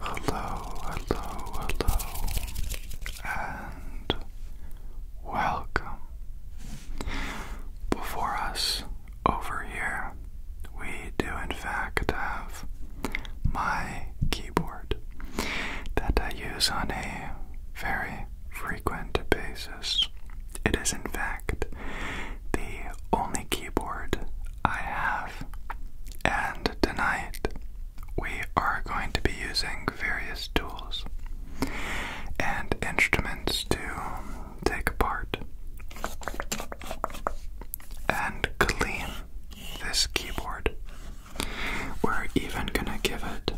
Hello, hello, hello, and welcome. Before us, over here, we do in fact have my keyboard that I use on a very frequent basis. It is, in fact, the only keyboard I have. And tonight, we are going to be using various tools and instruments to take apart and clean this keyboard. We're even gonna give it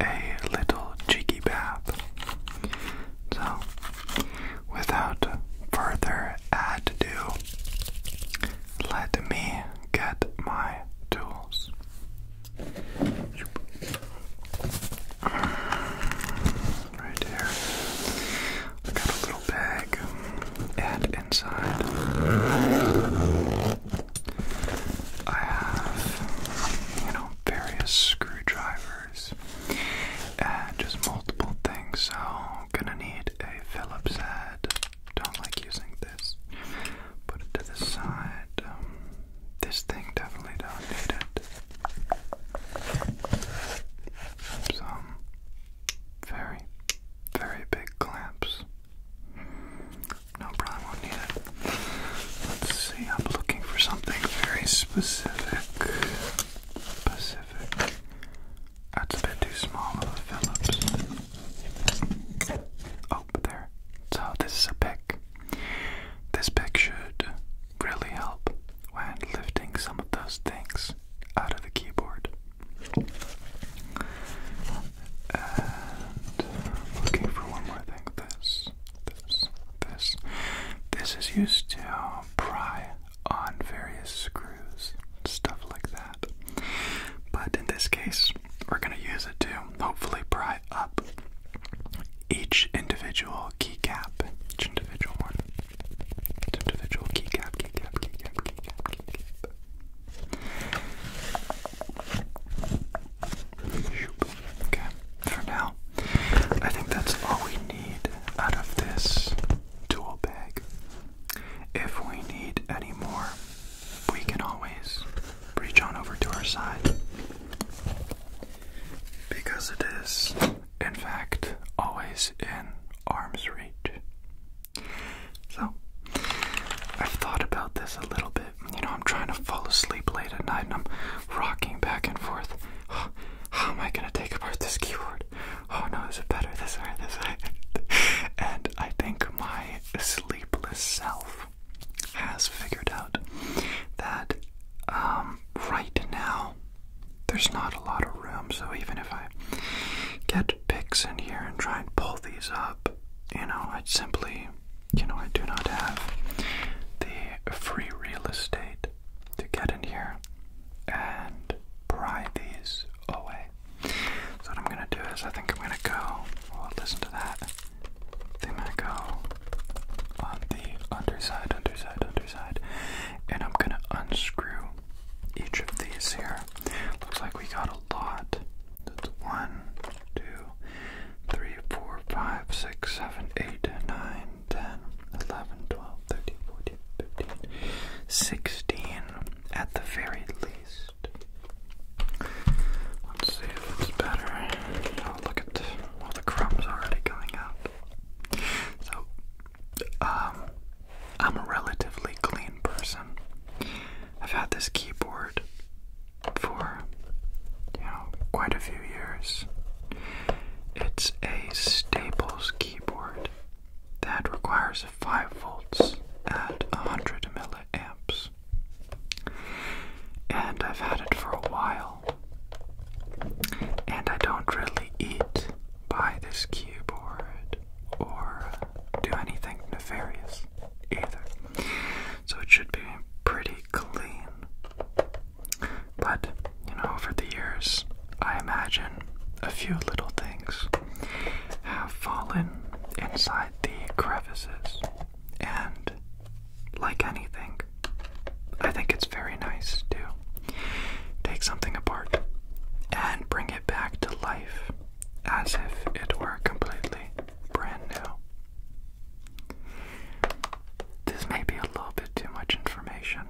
a little cheeky bath. So, without further ado, let me get my tools. Right here little bag, and inside I have, you know, various screwdrivers and just multiple things. So, gonna need a Phillips head. Don't like using this. Put it to the side. Um, this thing definitely don't need it. Some very, very big clamps. No, probably will Let's see, I'm looking for something very specific. Pacific. That's a bit too small of a Phillips. Oh, there. So this is a pick. This pick should really help when lifting some of those things out of the keyboard. And uh, looking for one more thing. This, this, this. This is used to um, pry on various screws, stuff like that. But in this case, we're going to use it to hopefully pry up each individual keycap. Each individual one. Each individual keycap, keycap, keycap, keycap, keycap. Okay, for now, I think that's all we need out of this tool bag. If we need any more, we can always reach on over to our side. Because it is, in fact, always in arm's reach. So, I've thought about this a little bit. You know, I'm trying to fall asleep late at night and I'm rocking back and forth. how am I gonna take apart this keyboard? Oh no, is it better this way, this way? and I think my sleepless self has figured out that um, right now there's not a lot of room, so even if I get picks in here and try and pull these up. You know, I simply, you know, I do not have the free real estate to get in here and pry these away. So what I'm gonna do is, I think I'm gonna go. Well, listen to that. They might I'm gonna go on the underside, underside, underside, and I'm gonna unscrew each of these here. Looks like we got a lot. That's one, two, three, four, five, six, seven, eight, nine, ten, eleven, twelve, thirteen, fourteen, fifteen, sixteen at the very least. Let's see if it's better. Oh, look at all the crumbs already coming out. So, um, I'm a relatively clean person. I've had this keyboard for, you know, quite a few years. It's a Staples keyboard that requires 5 volts at 100 milliamps. And I've had it for a while. And I don't really eat by this keyboard or do anything nefarious either. So it should be pretty clean. But, you know, over the years, I imagine a few little things have fallen inside the crevices. And, like anything, I think it's very nice to take something apart and bring it back to life as if it were completely brand new. This may be a little bit too much information.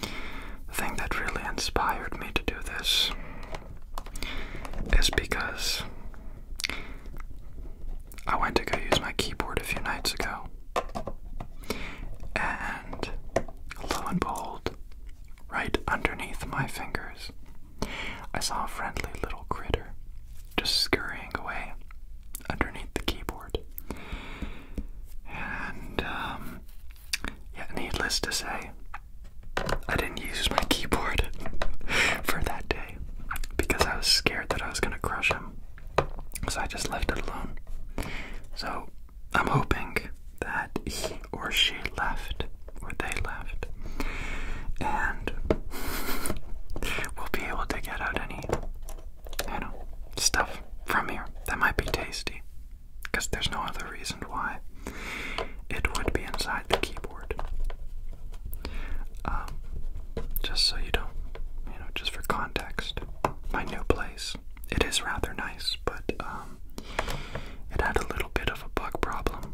The thing that really inspired me to do this is because I went to go use my keyboard a few nights ago, and lo and behold, right underneath my fingers I saw a friendly little critter just scurrying away underneath the keyboard. And, um, yeah, needless to say, I didn't use my keyboard for that day because I was scared that I was gonna crush him. So I just left it alone. So I'm hoping that he or she left, or they left, and we'll be able to get out any, you know, stuff from here that might be tasty, because there's no other reason why it would be inside the keyboard. Um, just so you don't, you know, just for context, my new place. It is rather nice, but um, it had a little bit of a bug problem.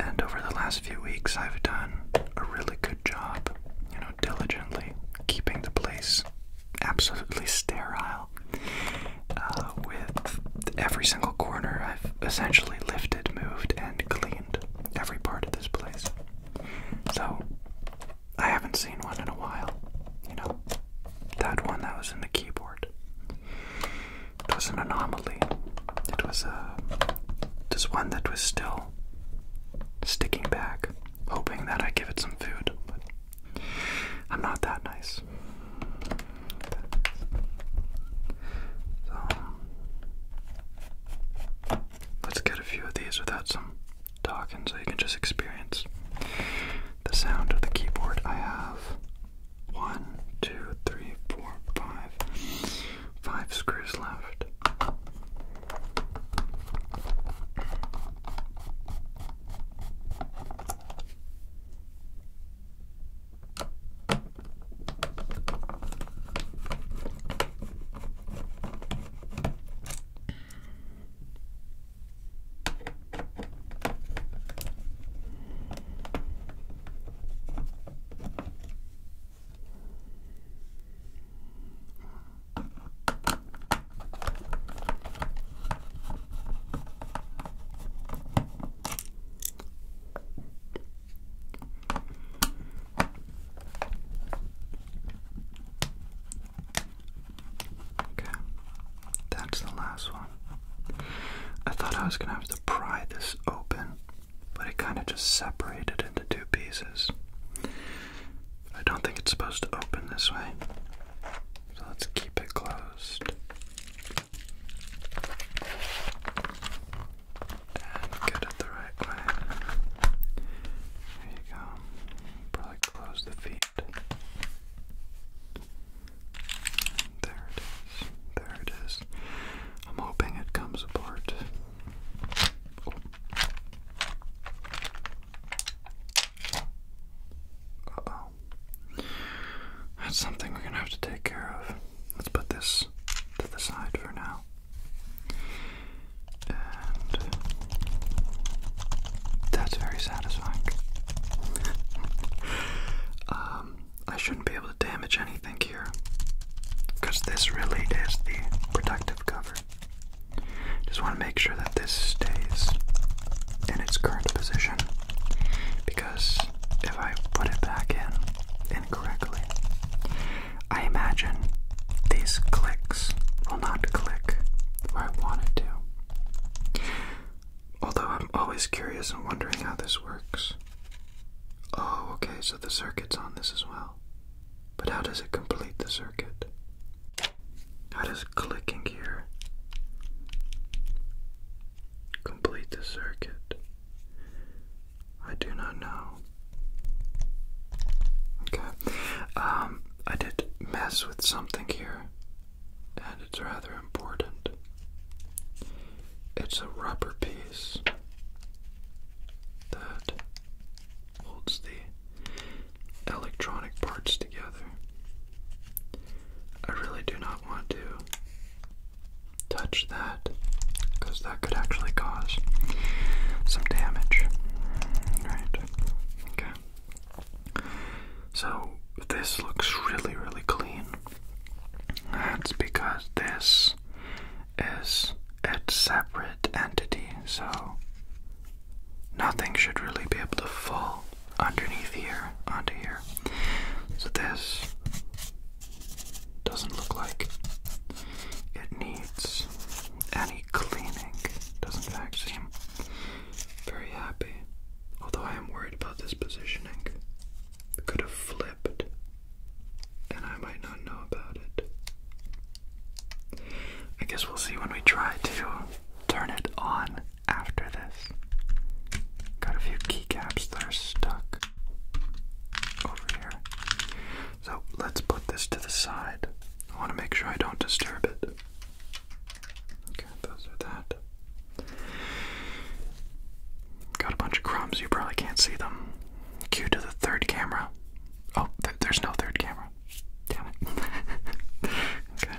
And over the last few weeks, I've done a really good job, you know, diligently keeping the place absolutely sterile. Uh, with every single corner, I've essentially lifted, moved, and cleaned every part of this place. So, I haven't seen one in a while. You know, that one that was in the keyboard. It was an anomaly. It was a uh, just one that was still sticking back, hoping that I give it some food. But I'm not that nice. So let's get a few of these without some talking so you can just experience the sound of the keyboard. I have one, two, three, four, five. Five screws left. Okay, that's the last one. I thought I was gonna have to pry this open, but it kind of just separated into two pieces. I don't think it's supposed to open this way, so let's keep it closed. And get it the right way. There you go. Probably close the feet. There it is. There it is. I'm hoping it comes apart. Oh. That's something we're gonna have to take care of. Let's put this to the side for now. And that's very satisfying. um, I shouldn't be able to damage anything here because this really is the protective cover. Just want to make sure that this stays in its current position because if I put it back in incorrectly, I imagine these clicks will not click where I want it to. Although I'm always curious and wondering how this works. Oh, okay, so the circuit's on this as well. But how does it complete the circuit? How does clicking here complete the circuit? I do not know. Okay. Um, I did mess with something here, and it's rather important. It's a rubber piece that holds the electronic parts together. I really do not want to touch that because that could actually cause some damage. Right. Okay. So this looks really, really clean. That's because this is its separate entity, so nothing should really be able to fall underneath here onto here. So this doesn't look like it needs any cleaning. Doesn't actually seem very happy. Although I am worried about this positioning could have flipped, and I might not know about it. I guess we'll see when we try to turn it on after this. Got a few keycaps that are stuck over here. So let's put this to the side. I want to make sure I don't disturb it. Okay, those are that. Got a bunch of crumbs, you probably can't see them. Cue to the third camera. Oh, there's no third camera. Damn it. okay.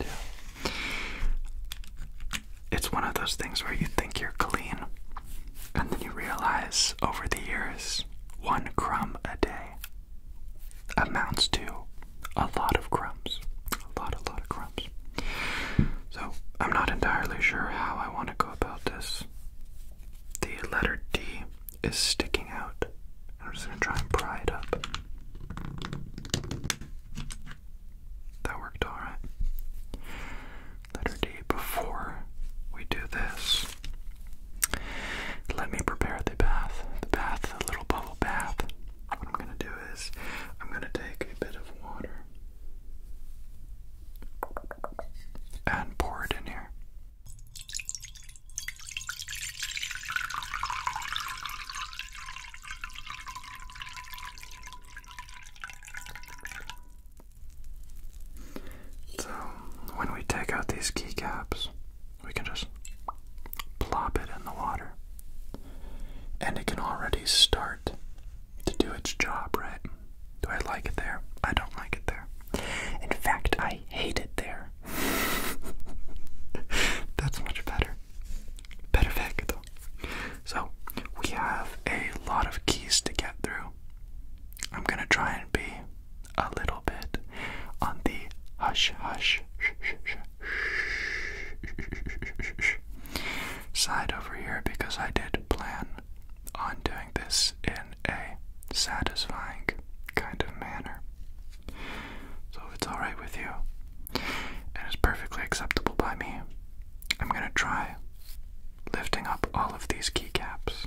Yeah. It's one of those things where you think you're clean, and then you realize over the years, one crumb a day amounts to a lot of crumbs. A lot, a lot of crumbs. So, I'm not entirely sure how I want to go about this. The letter D is sticking out. I'm just going to try and pry it up. That worked alright. Letter D. Before we do this, let me prepare the bath. The bath, the little bubble bath. What I'm gonna do is, I'm gonna take a bit of water and pour it in here. So, when we take out these keycaps, we can just plop it in the water and it can already start to do its job, right? Do I like it there? I don't like it there. In fact, I hate it there. That's much better. Better perfecto. So, we have a lot of keys to get through. I'm gonna try and be a little bit on the hush hush shh shh side over here because I did plan on doing this in a satisfying kind of manner. So it's alright with you, and it's perfectly acceptable by me, I'm gonna try lifting up all of these keycaps.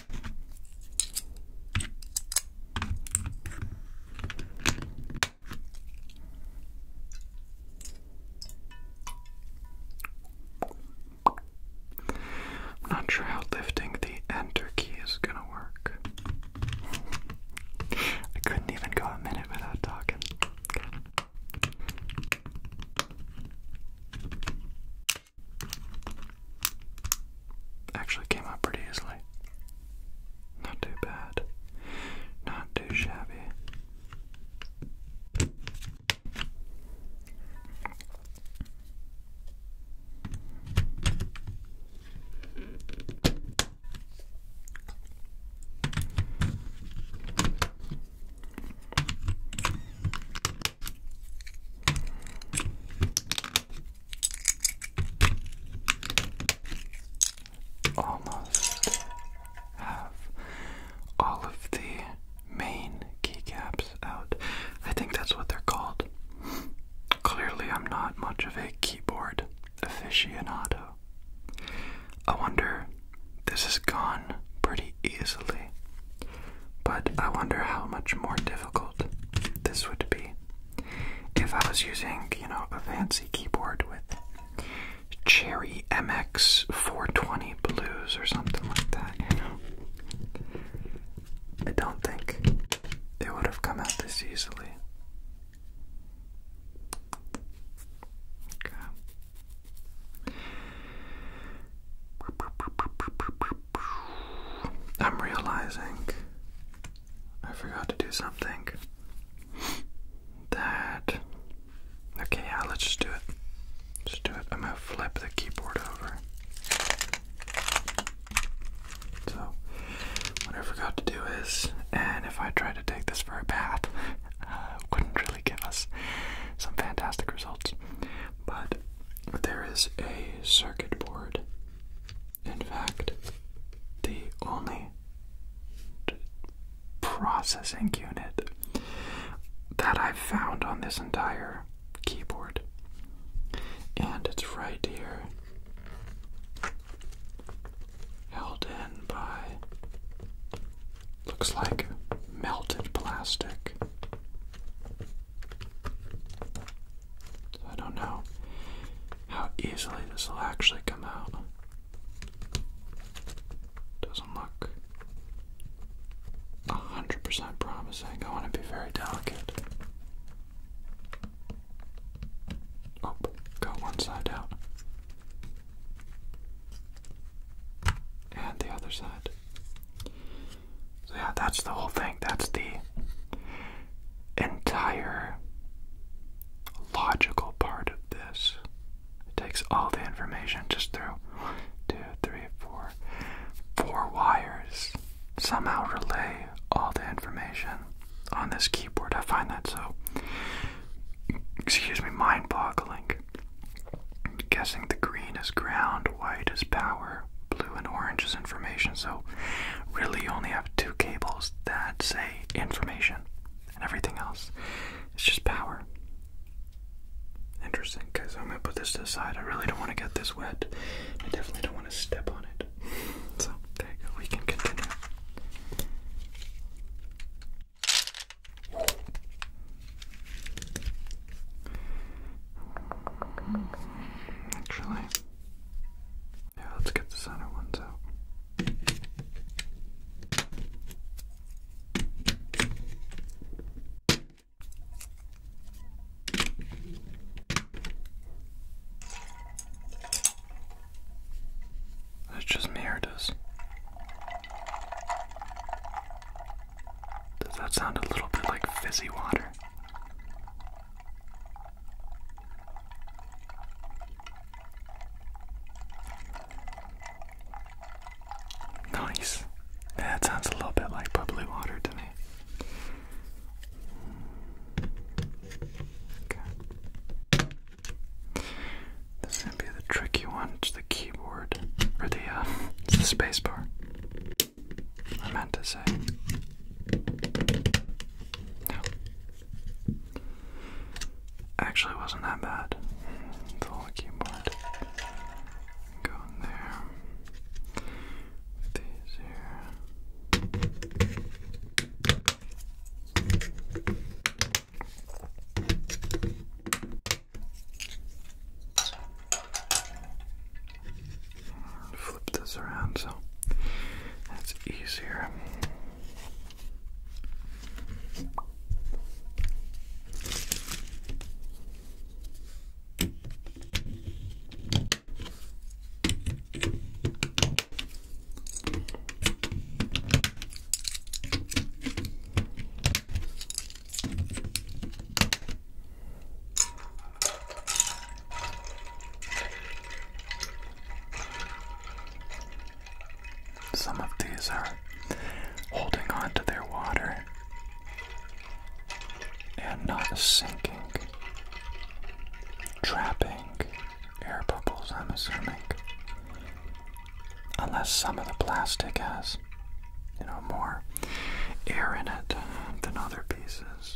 I'm not sure how lifting the enter key is gonna work. I couldn't even go a minute without talking. Actually came out pretty easily. Not too bad. Not too shabby almost have all of the main keycaps out. I think that's what they're called. Clearly, I'm not much of a keyboard aficionado. I wonder, this has gone pretty easily but I wonder how much more difficult this would be if I was using, you know, a fancy keyboard with Cherry MX 420 Blues or something like that, I don't think it would have come out this easily. I'm realizing I forgot to do something that. Okay, yeah, let's just do it. Just do it. I'm gonna flip the keyboard over. So, what I forgot to do is, and if I try to take this for a bath, wouldn't really give us some fantastic results. But there is a circuit board in fact, the only processing unit that I've found on this entire keyboard. And it's right here, held in by looks like melted plastic. I don't know how easily this will actually come out. Doesn't look a hundred percent promising. I want to be very delicate. Oh, got one side out. And the other side yeah, that's the whole thing. That's the entire logical part of this. It takes all the information just through one, two, three, four, four wires. Somehow relay all the information on this keyboard. I find that so, excuse me, mind boggling. Guessing the green is ground, white is power, blue and orange is information. So really you only have two cables that say information and everything else. It's just power. Interesting, because I'm gonna put this to the side. I really don't want to get this wet. I definitely don't want to step on it. So there you go. We can continue. Actually, yeah, let's get the center ones out. It's just me Does that sound a little bit like fizzy water? Nice. That sounds a little bit like bubbly water to me. This is gonna be the tricky one, it's the keyboard or the uh, spacebar. I meant to say. No. Actually, it wasn't that bad. The keyboard. Go in there. These here flip this around so that's easier. Some of these are holding on to their water and not sinking, trapping air bubbles, I'm assuming. Unless some of the plastic has, you know, more air in it than other pieces.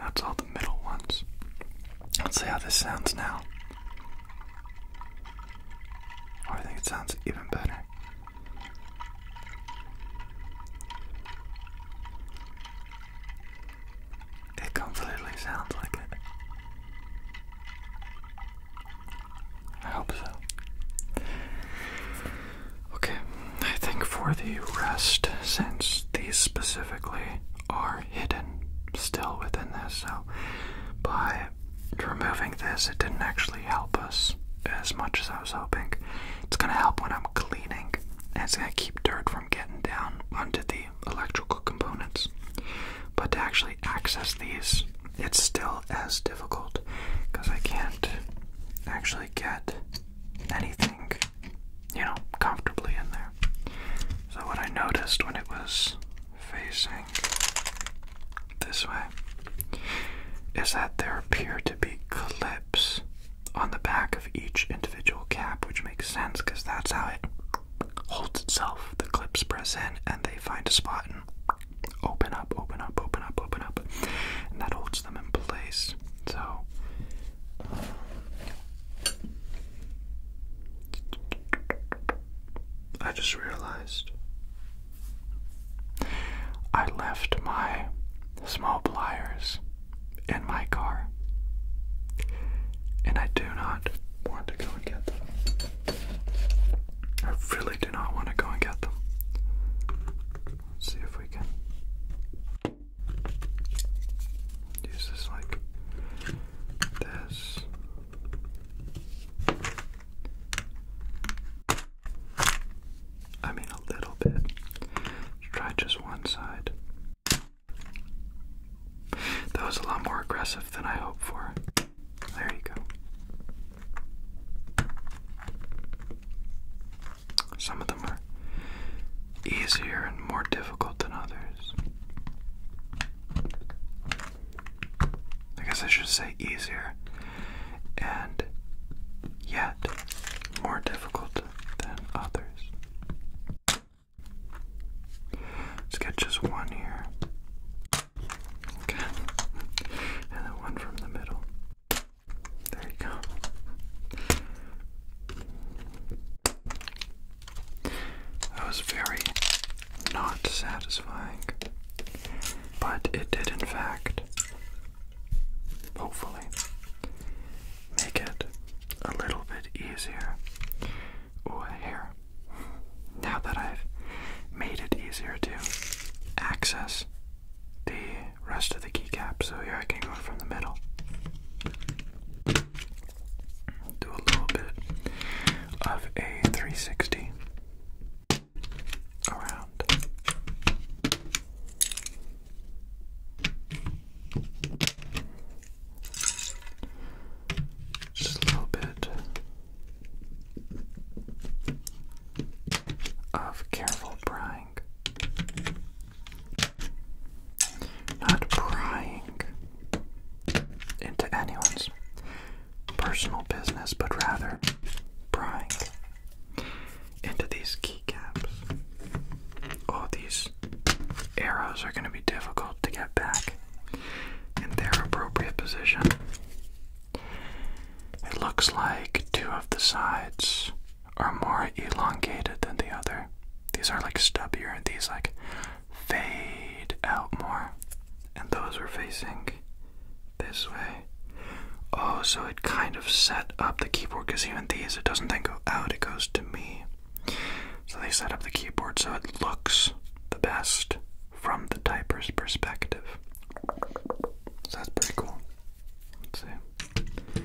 that's all the middle ones. Let's see how this sounds now. Oh, I think it sounds even better. It completely sounds like it. I hope so. Okay, I think for the rest, since these specifically are hidden still within this. So by removing this, it didn't actually help us as much as I was hoping. It's going to help when I'm cleaning, and it's going to keep dirt from getting down onto the electrical components. But to actually access these, it's still as difficult because I can't actually get anything, you know, comfortably in there. So, what I noticed when it was facing this way is that there appear to be clips on the back of each individual cap, which makes sense because that's how it holds itself. The clips press in and they find a spot and open up, open up, open up, open up, and that holds them in place. So, I just realized I left my small pliers in my car, and I do not want to go and get them. I really do not want to go and get them. Let's see if we can use this like this. I mean, a little bit. Try just one side. That was a lot more aggressive than I hoped for. There you go. Some of them are easier and more difficult than others. I guess I should say easier and yet more difficult than others. Let's get just one here. Okay. And then one from the middle. There you go. That was very not satisfying, but it did, in fact, hopefully, make it a little bit easier. Ooh, here. Now that I've made it easier to access the rest of the keycap, so here I can go from the middle do a little bit of a 360 around. Just a little bit of careful prying. Not prying, into anyone's personal business, but rather prying into these keycaps. All these arrows are going to be difficult to get back in their appropriate position. It looks like two of the sides are more elongated than the other. These are like stubbier and these like fade out more. And those were facing this way. Oh, so it kind of set up the keyboard because even these, it doesn't then go out, it goes to me. So they set up the keyboard so it looks the best from the typer's perspective. So that's pretty cool. Let's see.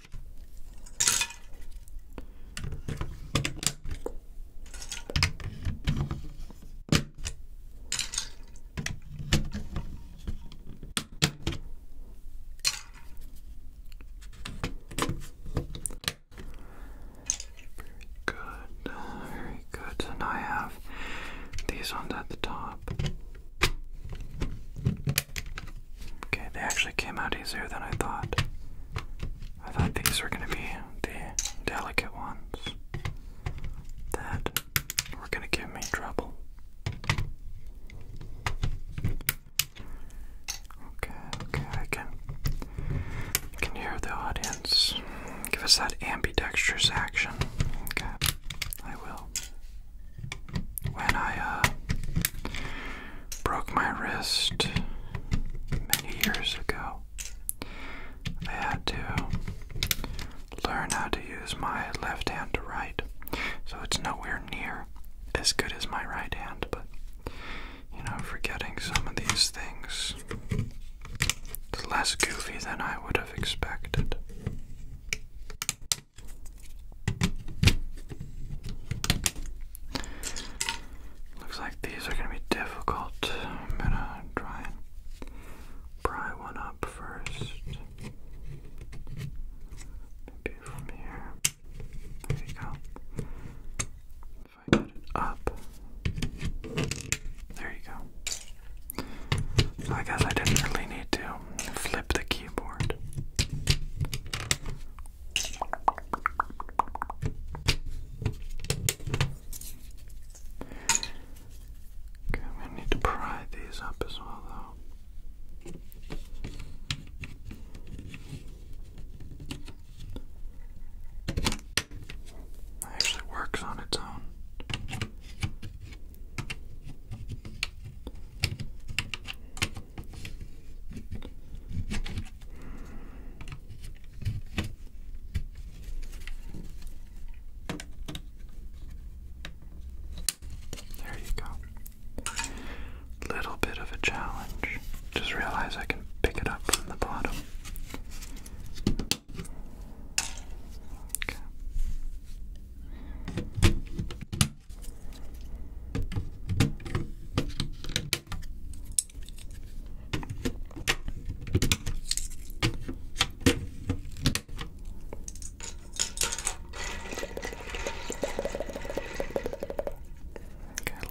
Very good, very good. And I have these ones at the top. Okay, they actually came out easier than I thought. I thought these were going to be the delicate ones that were going to give me trouble. Okay, I can, can hear the audience. Give us that ambidextrous action. Okay, I will. When I, uh, broke my wrist many years ago. I had to learn how to use my left hand to write, so it's nowhere near as good as my right hand, but you know, forgetting some of these things. It's less goofy than I would have expected. Looks like these are going to be difficult. I'm going to try and pry one up first. Maybe from here. There you go. If I get it up. There you go. I guess I did need to flip the keyboard i need to pry these up as well, though. actually works on its own. There you go. Little bit of a challenge. Just realize I can pick it up from the bottom. Okay. Okay,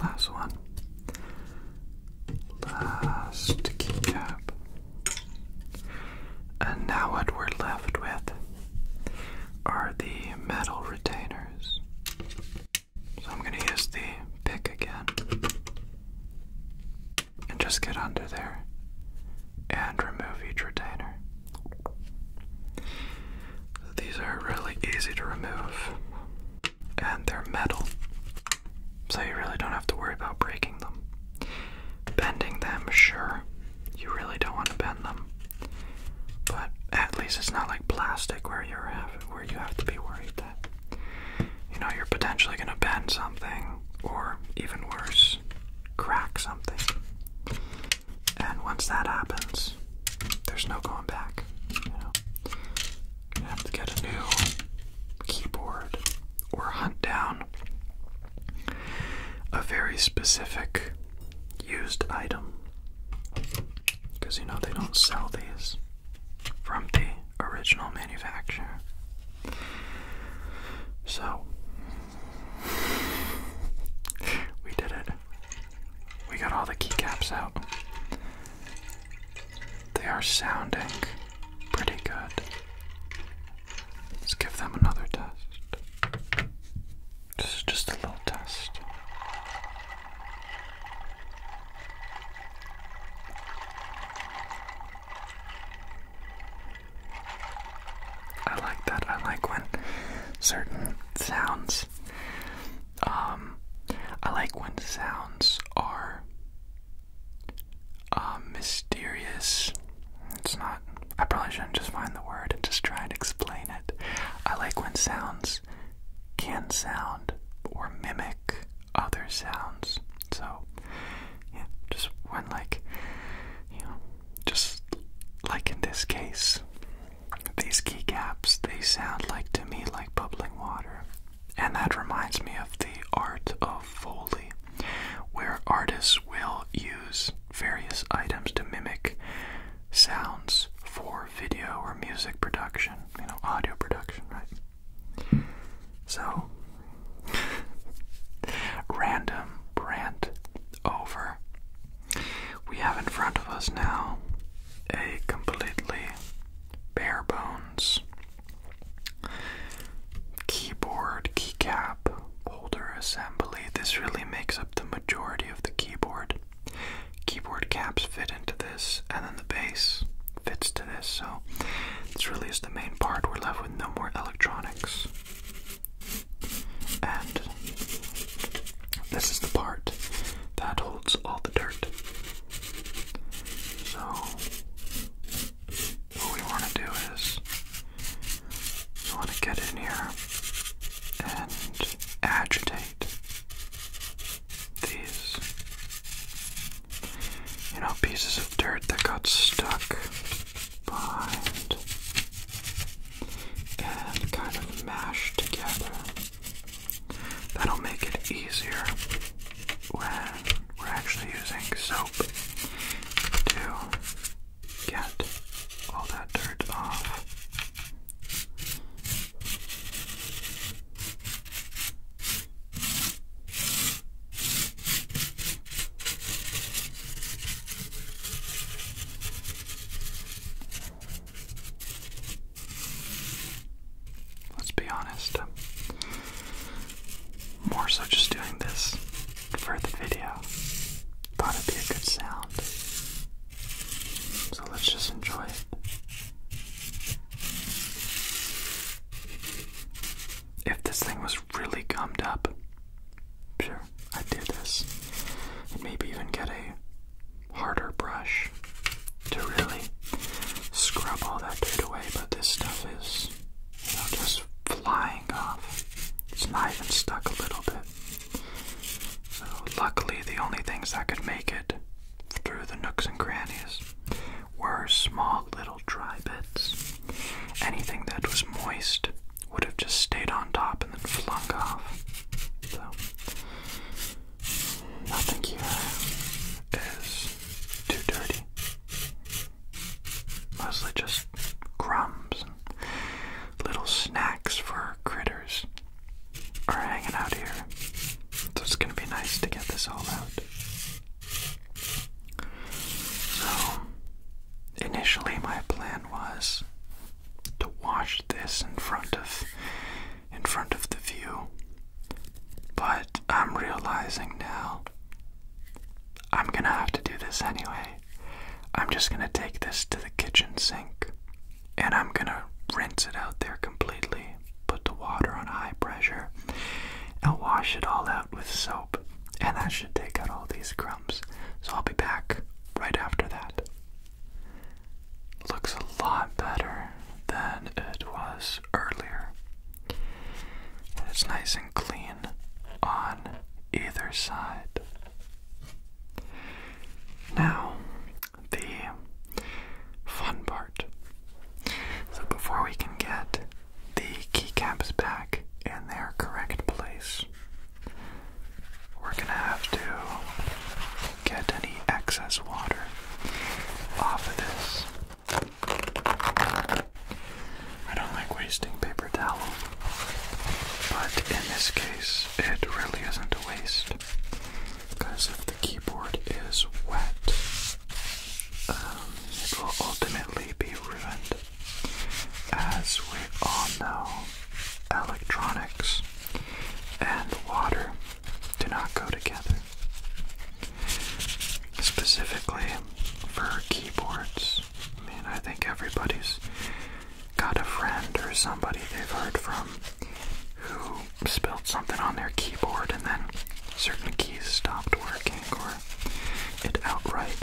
last one. Last keycap. And now what we're left with are the metal retainers. So I'm going to use the pick again and just get under there and remove each retainer. these are really easy to remove and they're metal, so you really don't have to worry about breaking them. Bending them, sure, you really don't want to bend them, but at least it's not like plastic where you're you have to be worried that you know you're potentially going to bend something or even worse crack something and once that happens there's no going back you know you have to get a new keyboard or hunt down a very specific used item because you know they don't sell these from the original manufacturer. So, we did it. We got all the keycaps out. They are sounding pretty good. Let's give them another test. This is just a little test. I like that. I like when certain sounds, um, I like when sounds are uh, mysterious. It's not, I probably shouldn't just find the word and just try and explain it. I like when sounds can sound or mimic other sounds. So, just when, like, you know, just like in this case, these keycaps, they sound like to me like bubbling water. And that reminds me of the art of Foley, where artists will use various items to mimic sounds for video or music production, you know, audio production, right? So, random rant over. We have in front of us now a completely bare bones keyboard keycap holder assembly. This really makes up the majority of the keyboard. Keyboard caps fit into this, and then the base fits to this, so this really is the main part. We're left with no more electronics. And this is the part that holds all the dirt. So, what we want to do is, we want to get in here and agitate these, you know, pieces of dirt that got stuck behind and kind of mashed together. That'll make it easier when we're actually using soap to get all that dirt off. Let's be honest, more so just doing this for the video. Thought it'd be a good sound. So let's just enjoy it. If this thing was really gummed up, sure, I'd do this. And maybe even get a harder brush to really scrub all that dirt away, but this stuff is, just flying off. It's not even stuck a little bit. So, luckily, the only things that could make it through the nooks and crannies were small little dry bits. Anything that was moist would have just stayed on top and then flung off. So, nothing here is too dirty. Mostly just crumbs and little snacks for critters are hanging out here. So it's gonna be nice to get this all out. So, initially, my plan was to wash this in front of in front of the view, but I'm realizing now I'm gonna have to do this anyway. I'm just gonna take this to the kitchen sink and I'm gonna rinse it out there completely. Put the water on high pressure and wash it all out with soap, and that should take out all these crumbs. So I'll be back right after that. Looks a lot better than it was earlier. it's nice and clean on either side. Now, the fun part. So before we can get the keycaps back in their correct place, we're gonna have to get any excess water off of this. I don't like wasting paper towel, but in this case, it really isn't a waste because if the keyboard is wet, um, it will ultimately be ruined. As we all know, electronics and water do not go together. Specifically for keyboards. I mean, I think everybody's got a friend or somebody they've heard from who spilled something on their keyboard and then certain keys stopped working or it outright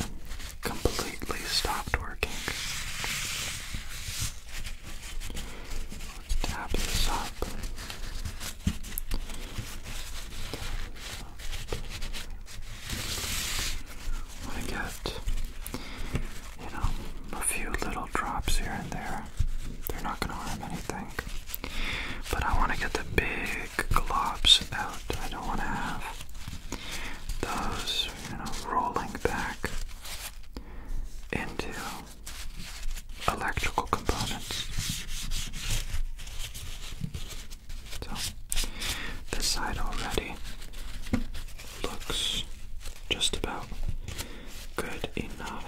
completely stopped working. Let's tap this up. I get, you know, a few little drops here and there they're not gonna harm anything. But I wanna get the big globs out. I don't wanna have those, you know, rolling back into electrical components. So this side already looks just about good enough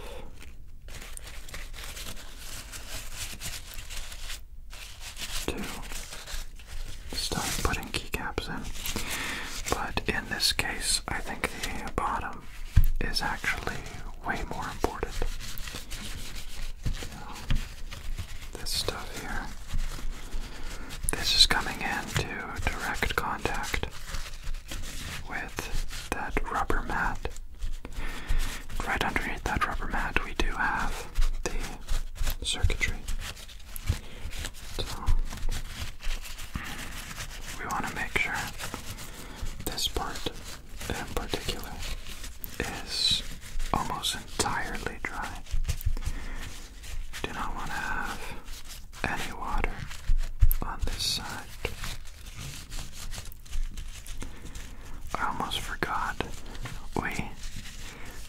to start putting keycaps in. But in this case, I think the bottom is actually way more important. This stuff here. This is coming into direct contact with that rubber mat. Right underneath that rubber mat, we do have the circuitry. So, we want to make sure this part in particular is almost entirely dry. Do not want to have any water on this side. I almost forgot. We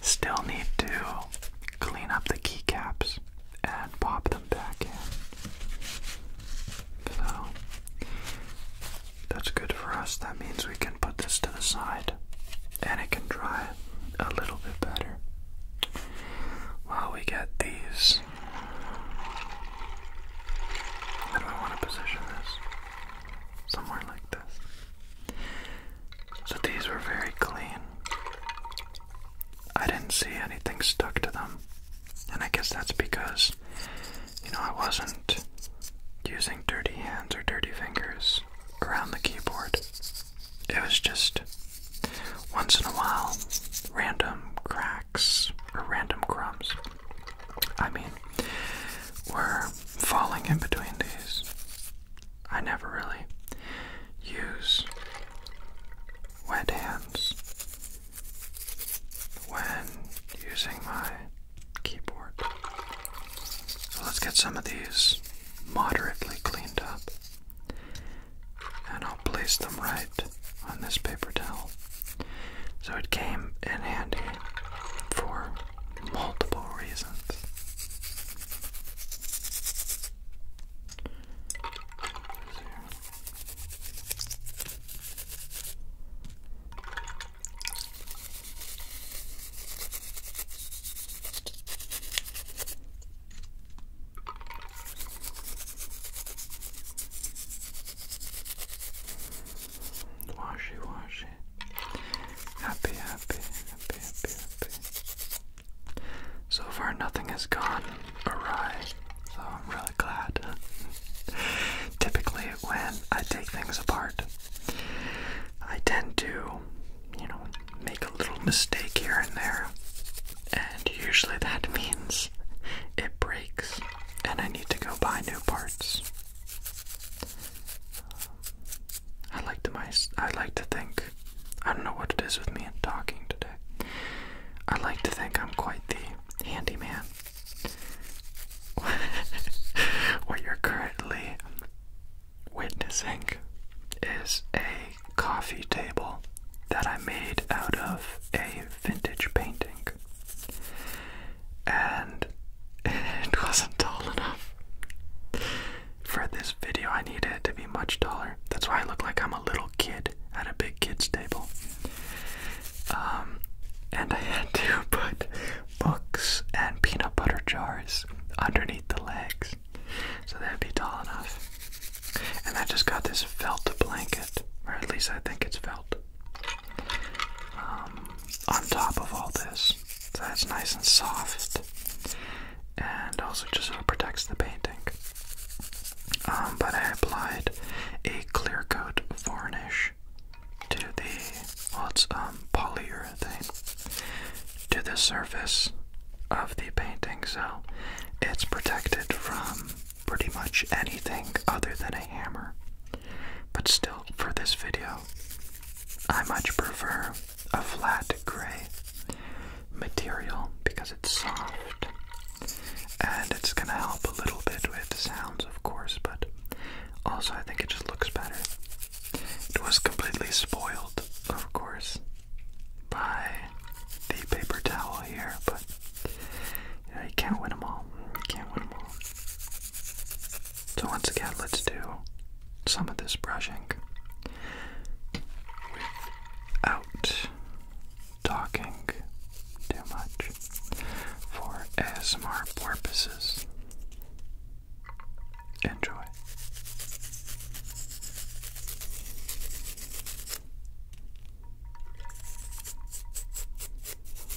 still need to clean up the keycaps and pop them back in. So that's good for us. That means we can put this to the side and it can dry a little bit better. While we get these how do I want to position this? Somewhere like this. So these were very clean. I didn't see anything stuck to them. And I guess that's because, you know, I wasn't using dirty hands or dirty fingers around the keyboard. It was just once in a while random cracks or random crumbs. I mean, we're falling in between these. I never really use wet hands when using my keyboard. So let's get some of these moderately cleaned up. And I'll place them right on this paper towel. So it came in handy for multiple reasons. Washy, washy. Happy, happy, happy, happy, happy. So far, nothing has gone awry, so I'm really glad. Typically, when I take things apart, I tend to, you know, make a little mistake here and there, and usually that means it breaks and I need to go buy new parts. I like to my I like to think I don't know what it is with me and talking today. I like to think I'm quite the handyman. what you're currently witnessing is a coffee table that I made out of a vintage painting and it wasn't tall enough. For this video, I needed it to be much taller. That's why I look like I'm a little kid at a big kid's table. Um, and I had to put books and peanut butter jars underneath the legs so that would be tall enough. And I just got this felt blanket, or at least I think it's felt. Um, on top of all this. So that's nice and soft, and also just protects the painting. Um, but I applied a clear coat varnish to the well, it's um, polyurethane to the surface of the painting, so it's protected from pretty much anything other than a hammer. But still, for this video, I much prefer a flat gray material because it's soft and it's gonna help a little bit with sounds, of course, but also I think it just looks better. It was completely spoiled, of course, by the paper towel here, but yeah, you can't win them all. You can't win them all. So, once again, let's do some of this brushing without talking too much for ASMR purposes. Enjoy.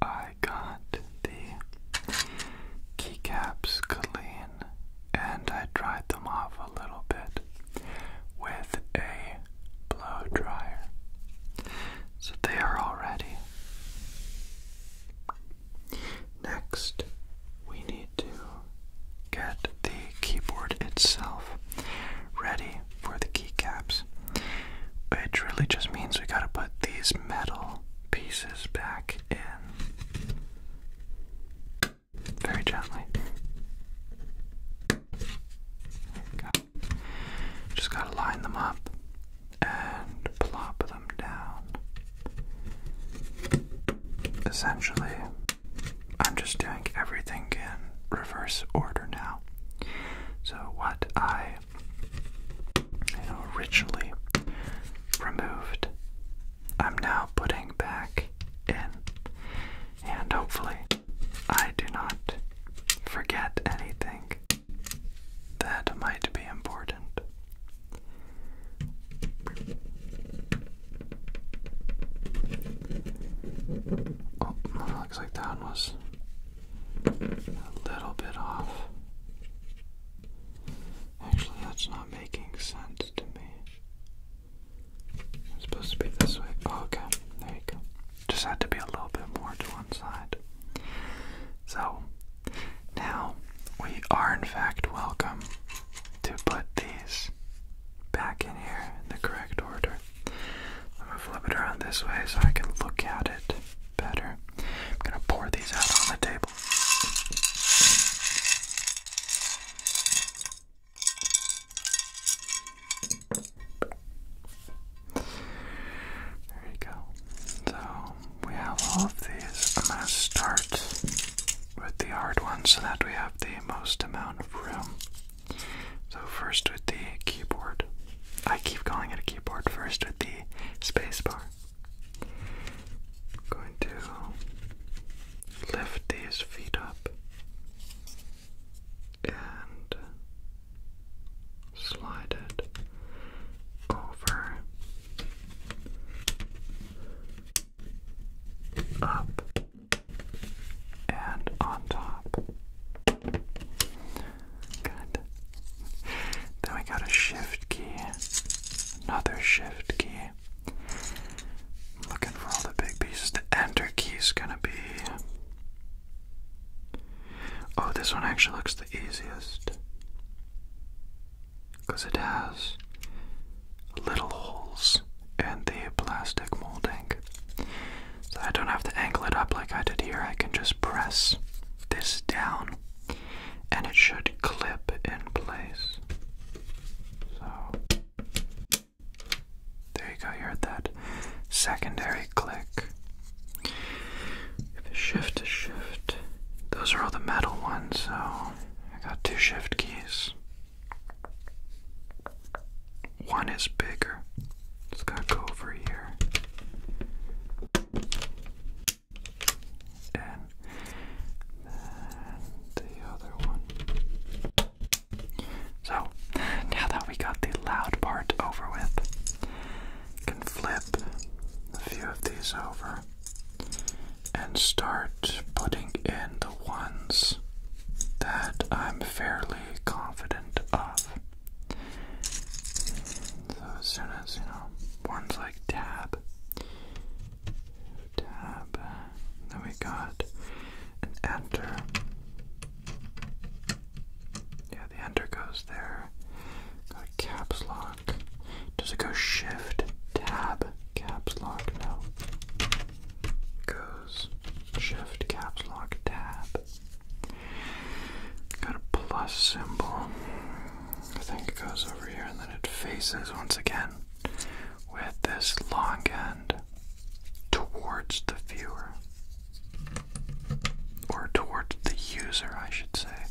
I got the keycaps clean and I dried them off a little bit with a blow dryer. So they are all ready. Next, we need to get the keyboard itself ready for the keycaps, which really just means we gotta put these metal pieces back in very gently. Just gotta line them up and plop them down essentially, I'm just doing everything in reverse order now. So, what I originally removed, I'm now putting back in, and hopefully, I do not forget anything that might be important. Oh, looks like that one was a little bit off. Actually, that's not making sense to me. It's supposed to be this way. Oh, okay, there you go. Just had to be a little bit more to one side. So, now we are in fact welcome to put these back in here in the correct order. I'm going to flip it around this way so I can look at it better. I'm going to pour these out on the table. There you go. So we have all of these. I'm going to start with the hard one so that we have the most amount of room. So, first with the keyboard. I keep calling it a keyboard. First with the spacebar. i going to lift these feet up and slide it over up and on top. Good. Then we got a shift key, another shift key. looking for all the big pieces. The enter key is gonna be. Oh, this one actually looks the easiest because it has little holes in the plastic molding. So I don't have to angle it up like I did here. I can just press this down and it should clip in place. So there you go, you heard that secondary click. Shift to shift. Those are all the metal ones, so I got two shift keys. One is bigger. Just gotta go over here. And then the other one. So, now that we got the loud part over with, can flip a few of these over and start putting in the ones that I'm fairly confident of. So as soon as, you know, ones like tab, tab, then we got an enter. Yeah, the enter goes there. a caps lock. Does it go shift, tab, caps lock? No goes shift caps lock tab. Got a plus symbol. I think it goes over here and then it faces once again with this long end towards the viewer. Or towards the user, I should say.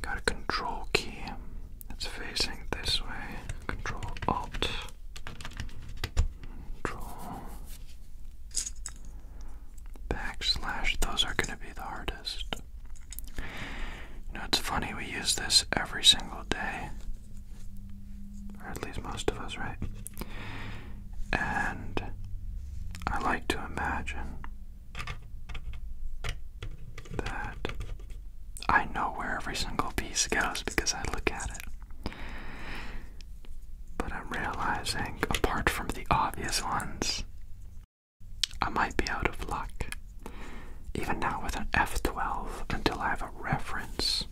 Got a control key. It's facing this way. Control Alt. Control backslash. Those are going to be the hardest. You know, it's funny we use this every single day, or at least most of us, right? And I like to imagine that I know where every single piece goes because I look at it. But I'm realizing, apart from the obvious ones, I might be out of luck. Even now with an F12, until I have a reference,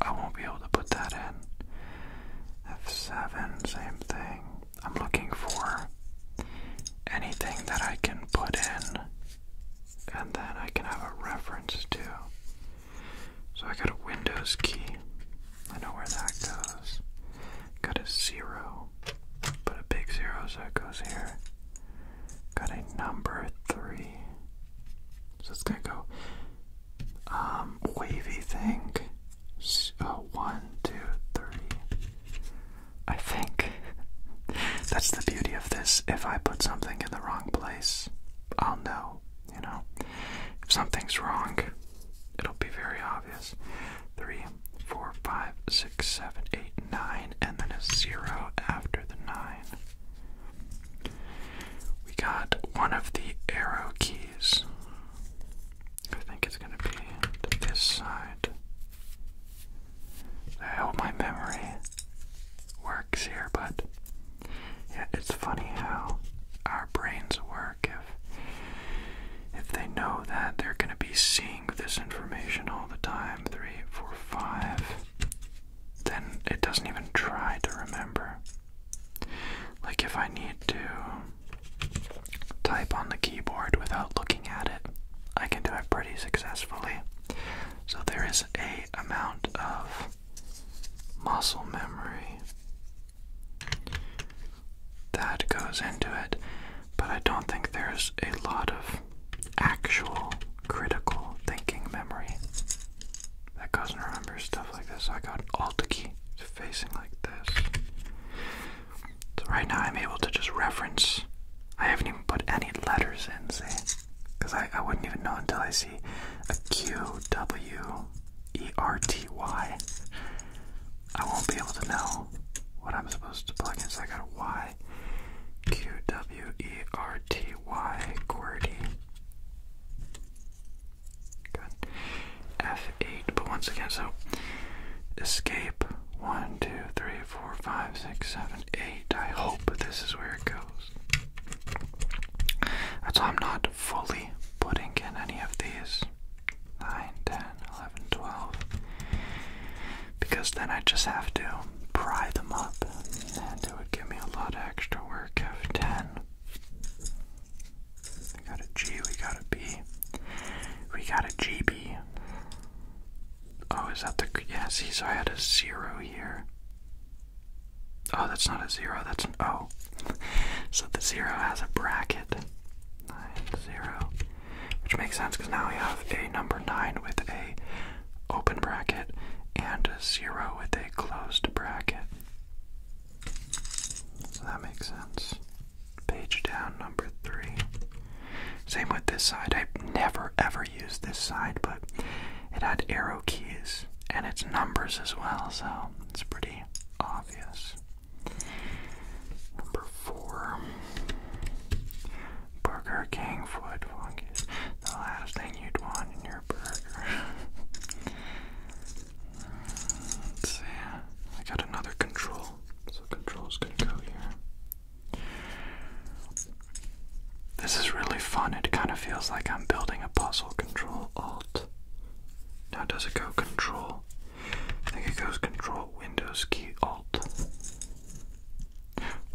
I won't be able to put that in. F7, same thing. I'm looking for anything that I can put in and then I can have a reference too. So I got a Windows key. I know where that goes. Got a zero, but a big zero, so it goes here. Got a number three. So it's gonna go um, wavy thing. So, oh, one, two, three. I think. That's the beauty of this. If I put something in the wrong place, I'll know, you know. If something's wrong, it'll be very obvious. Three, four, five, six, seven, eight, nine, and then a zero after the nine. We got one of the arrow keys. I think it's going to be this side. I hope my memory here, but yeah, it's funny how our brains work if if they know that they're gonna be seeing this information all the time, three, four, five, then it doesn't even try to remember. Like if I need to type on the keyboard without looking at it, I can do it pretty successfully. So there is a amount of muscle memory that goes into it, but I don't think there's a lot of actual critical thinking memory that goes and remembers stuff like this. I got Alt key facing like this. right now I'm able to just reference. I haven't even put any letters in, see? Because I, I wouldn't even know until I see a Q W E R T Y. I won't be able to know what I'm supposed to plug in, so I got a Y. Q W E R T Y QWERTY. Good. F8, but once again, so escape. One, two, three, three, four, five, six, seven, eight. I hope this is where it goes. That's why I'm not fully putting in any of these. 9, Because then I just have to pry them up. And it would give me a lot of extra work 10. We got a G, we got a B. We got a Oh, is that the. Yeah, see, so I had a zero here. Oh, that's not a zero, that's an O. Oh. so the zero has a bracket. 9, Which makes sense because now we have a number 9 with a open bracket and a 0 with a closed bracket. So that makes sense. Page down, number 3. Same with this side. I have never ever never used this side, but it had arrow keys and its numbers as well, so it's pretty obvious. Number four Burger King foot funk the last thing you'd want in your burger. let I got another control. So control's gonna go here. This is really fun. It kind of feels like I'm building a puzzle. Control Alt. Now does it go Control? I think it goes Control Windows key Alt.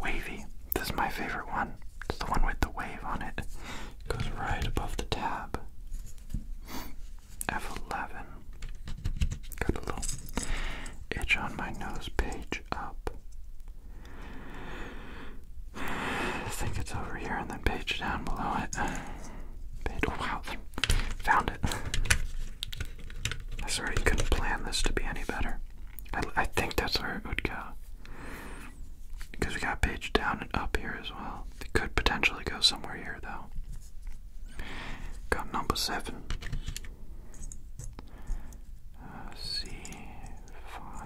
Wavy. This is my favorite one. It's the one with the wave on it. goes right above the tab. F11. Got a little itch on my nose. Page up. I think it's over here and then page down below it. Page, oh, wow, found it. I swear you couldn't plan this to be any better. I, think that's where it would go. Because we got page down and up here as well. It could potentially go somewhere here though. Got number seven. Uh, C five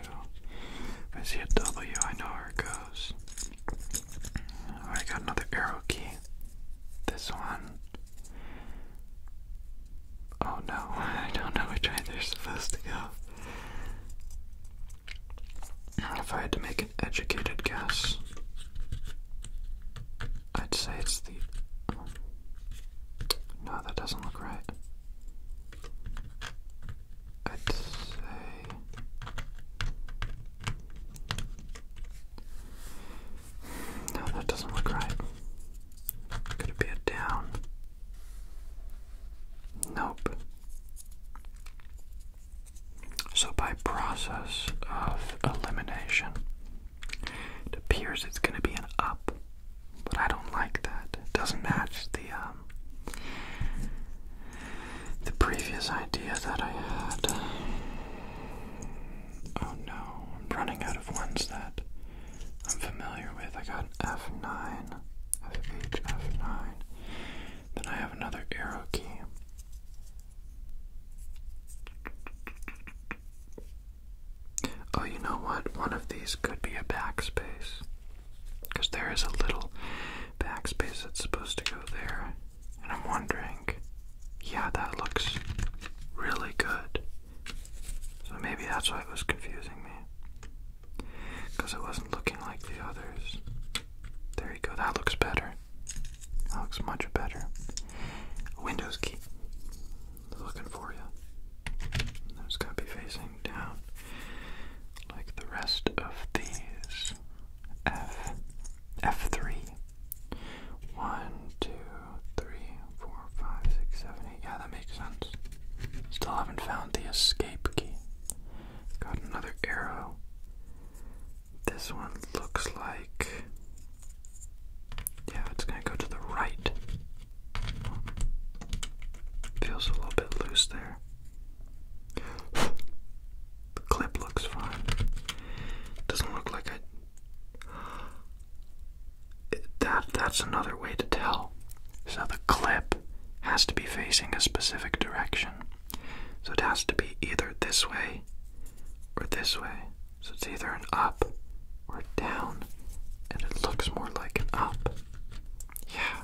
if I see a W, I know where it goes. I got another arrow key. This one. Oh no, I don't know which way they're supposed to go. If I had to make an educated guess, I'd say it's the. No, that doesn't look right. I'd say no, that doesn't look right. Could it be a down? Nope. So, by process of elimination, it appears it's going to be an up, but I don't like that. It doesn't match the uh, the previous idea that I had. Oh no, I'm running out of ones that I'm familiar with. I got F9, FH, F9. Then I have another arrow key. Oh, you know what? One of these could be a backspace. Because there is a little backspace that's supposed to go there. And I'm wondering, yeah, that looks really good. So maybe that's why it was confusing me. Because it wasn't looking like the others. There you go, that looks better. That looks much better. Windows key. Looking for you. That's got facing down like the rest of these. F F three. One, two, three, four, five, six, seven, eight. Yeah, that makes sense. Still haven't found the escape key. Got another arrow. This one looks like yeah, it's gonna go to the right. Feels a little bit loose there the clip looks fine. Doesn't look like I. It, that that's another way to tell. So the clip has to be facing a specific direction. So it has to be either this way or this way. So it's either an up or down, and it looks more like an up. Yeah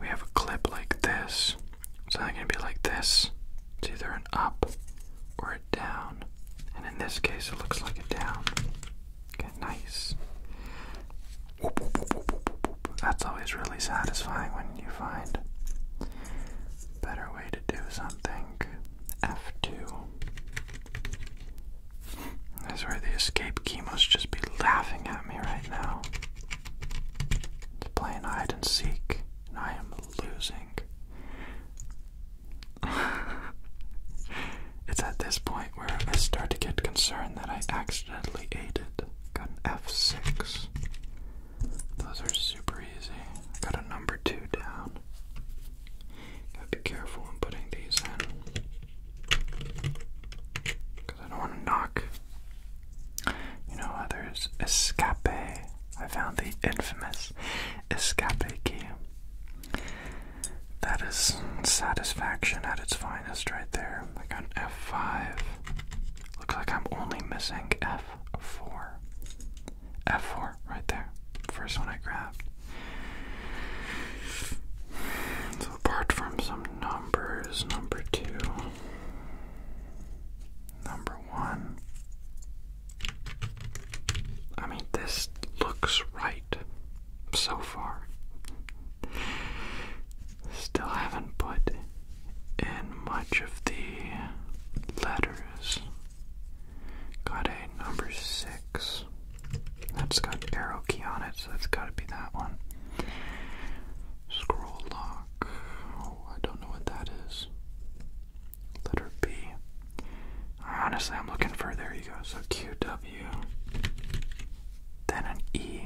we have a clip like this. So gonna be like this. It's either an up or a down. And in this case, it looks like a down. Okay, nice. That's always really satisfying when you find better way to do something. F2. That's where the escape key must just be laughing at me right now. It's playing hide and seek, and I am losing. it's at this point where I start to get concerned that I accidentally ate it. Got an F6. Those are super easy. Got a number two down. Gotta be careful when putting these in. I don't want to knock. You know, others. Escape. I found the infamous escape key. That is satisfaction at its finest, right there. Like on F5. Looks like I'm only missing F4. F4, right there. First one I grabbed. So, apart from some Number is number two, number one. I mean, this looks right so far. Still haven't put in much of the letters. Got a number six. That's got arrow key on it, so it's got to be that one. Scroll lock. Oh, I don't know what that is. Letter B. Honestly, I'm looking for. There you go. So QW. Then an E.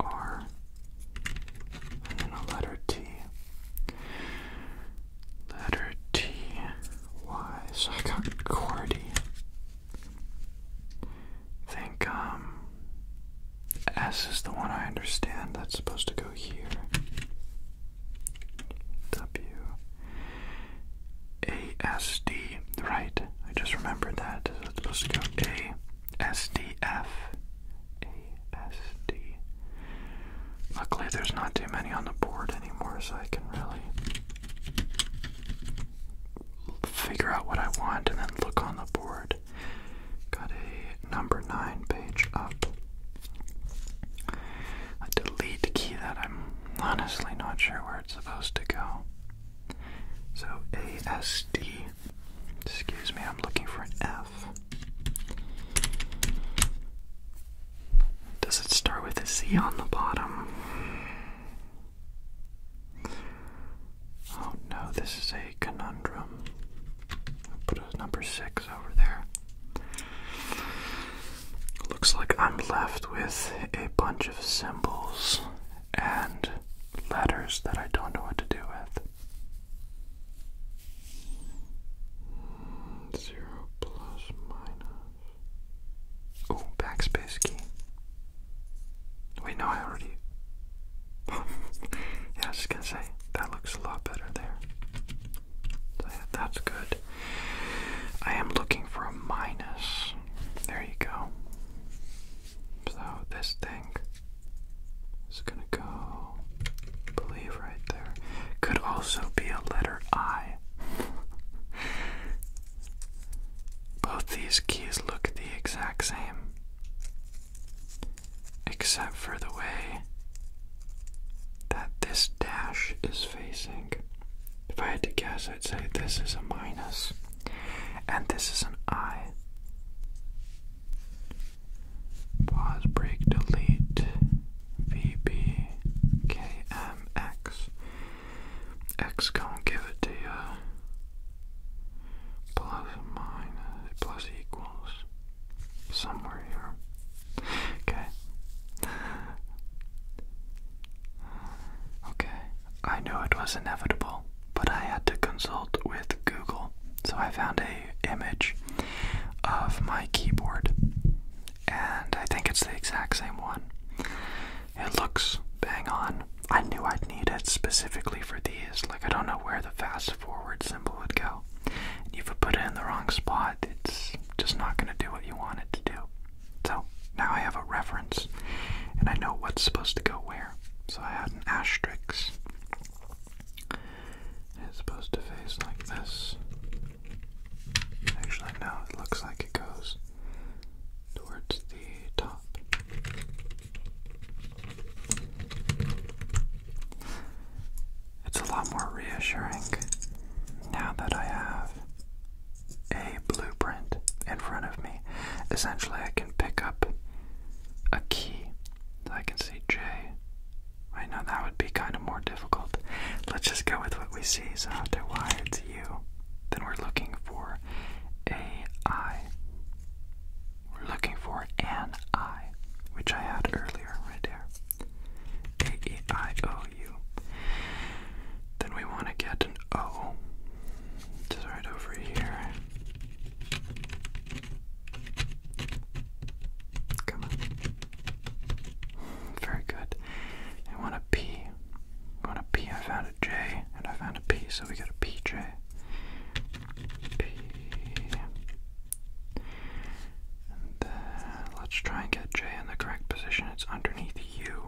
R, and then a letter T. Letter T, Y. So I got Cordy. think um, S is the one I understand. That's supposed to go here. W. A S D. Right. I just remembered that. So supposed to go A S D F. Luckily, there's not too many on the board anymore, so I can really figure out what I want and then look on the board. Got a number 9 page up. A delete key that I'm honestly not sure where it's supposed to go. So ASD Excuse me, I'm looking for an F. Does it start with a Z on the bottom? Oh no, this is a conundrum. put a number six over there. Looks like I'm left with a bunch of symbols and letters that I don't know what to do with. Zero plus minus. Oh, backspace key. We know I already. yeah, I was just gonna say, that looks a lot better there. So yeah, that's good. I am looking for a minus. There you go. So this thing it's gonna go, believe, right there. Could also be a letter I. Both these keys look the exact same, except for the way that this dash is facing. If I had to guess, I'd say this is a minus, and this is an I. Pause, break, delete, VB, KMX. X give it to you. Plus minus, plus equals. Somewhere here. Okay. Okay. I knew it was inevitable, but I had to consult with Google. So I found a image of my keyboard, and I think it's the exact same one. It looks bang on. I knew I'd need it specifically for these. Like I don't know where the fast forward symbol would go. And if you put it in the wrong spot, it's just not gonna do what you want it to do. So now I have a reference, and I know what's supposed to go where. So I had an asterisk. It's supposed to face like this. Actually, now it looks like it goes towards the top. It's a lot more reassuring now that I have a blueprint in front of me. Essentially, I can pick up a key. I can see J I know that would be kind of more difficult. Let's just go with what we see. So after y, it's u. Then we're looking for a i. We're looking for an which I had earlier, right there. A e i o u. Then we want to get an o, just right over here. Come on. Very good. I want a P. I want a P. I found a J, and I found a P, so we got a PJ. P. And then let's try and get J in the correct position. It's underneath U.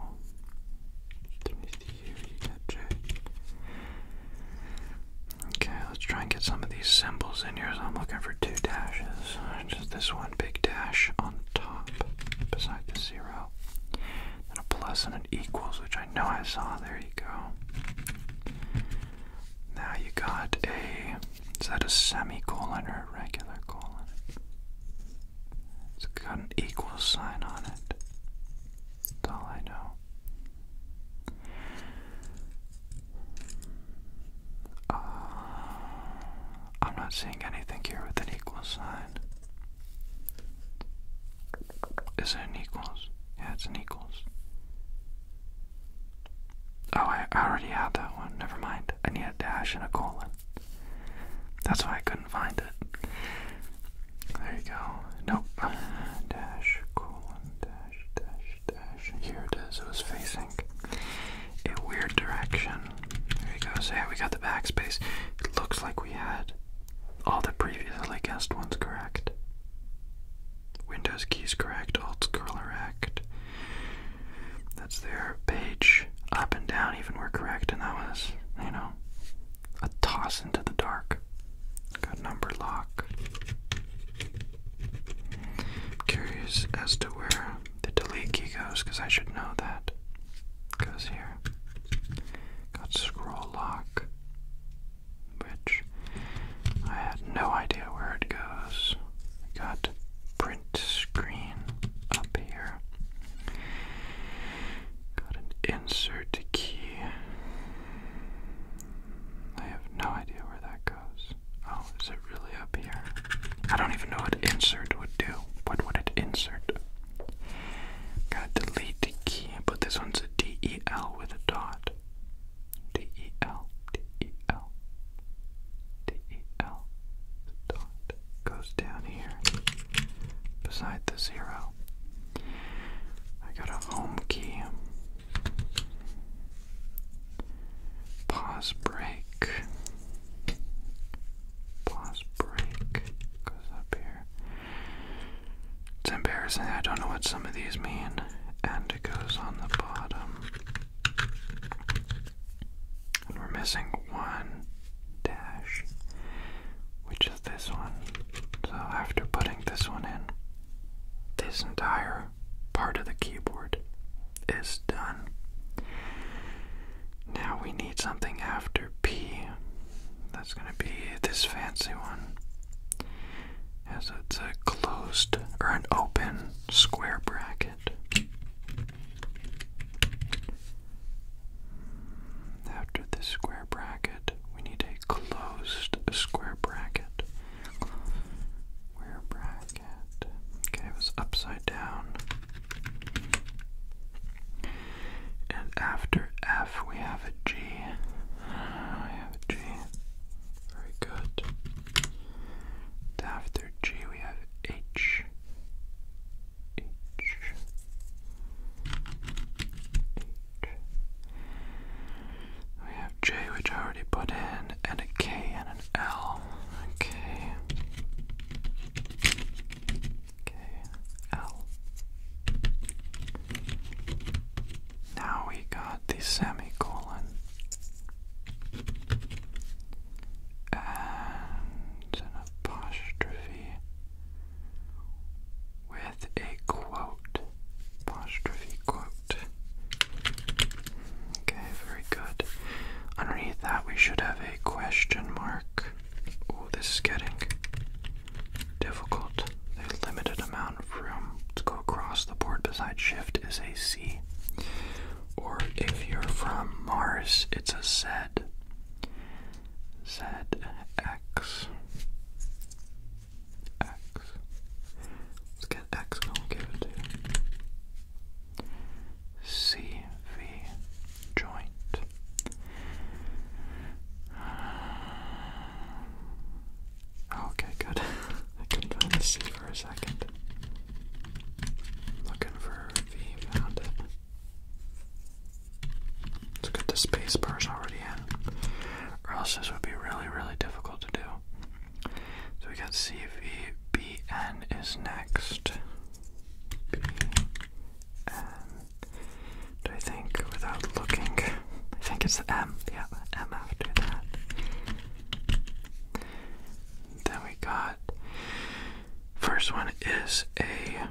Underneath U, you got J. Okay, let's try and get some of these symbols in here. So I'm looking for two dashes. Just this one big dash on top beside the zero. and a plus and an equals, which I know I saw. There you go. Now you got a. Is that a semicolon or a regular colon? It's got an equal sign on it. That's all I know. Uh, I'm not seeing anything here with an equal sign. Is it an equals? Yeah, it's an equals. Oh, I, I already had that one. Never mind. I need a dash and a colon. That's why I couldn't find it. There you go. Nope. Dash, colon, dash, dash, dash. Here it is. It was facing a weird direction. There we go. yeah, we got the backspace. It looks like we had all the previously guessed ones correct. Windows keys correct. Alt correct. That's their page up and down. Even were correct, and that was you know a toss into the dark. Got number lock curious as to where the delete key goes because I should know that. Goes here. Got scroll lock, which I had no idea where it goes. Got print screen up here. Got an insert key. I have no idea where that goes. Oh, is it really up here? I don't even know what insert would do. What would it insert? Got delete key, but this one's a D E L with a dot. D E L D E L D E L the dot goes down here beside the zero. I got a home key. Pause break. Pause break goes up here. It's embarrassing. I don't know what some of these mean. And it goes on the bottom. And we're missing one dash, which is this one. So after putting this one in, this entire part of the keyboard is done. Now we need something after P. That's going to be this fancy one. As it's a closed or an open square bracket. After the square bracket, we need a closed square bracket? jacket. Okay, it was upside down. And after F, we have a G. Ah, we have a G. Very good. After G, we have H. H. H. We have J, which I already put in, and a K and an L. Okay. K, L. Now we got the semicolon. And an apostrophe with a quote. Apostrophe quote. Okay, very good. Underneath that, we should have a question mark. Oh, this is getting difficult. A limited amount of room to go across the board besides shift is a C. Or if you're from Mars, it's a Z. Z, X. X. Let's X and CV joint. Ah. Okay, good. I couldn't find the C for a second. Looking for V, found it. Let's the space bars already in, or else would be really, really difficult to do. So we got CVBN is next. I think without looking? I think it's the M. Yeah, the M after that. Then we got. First one is a.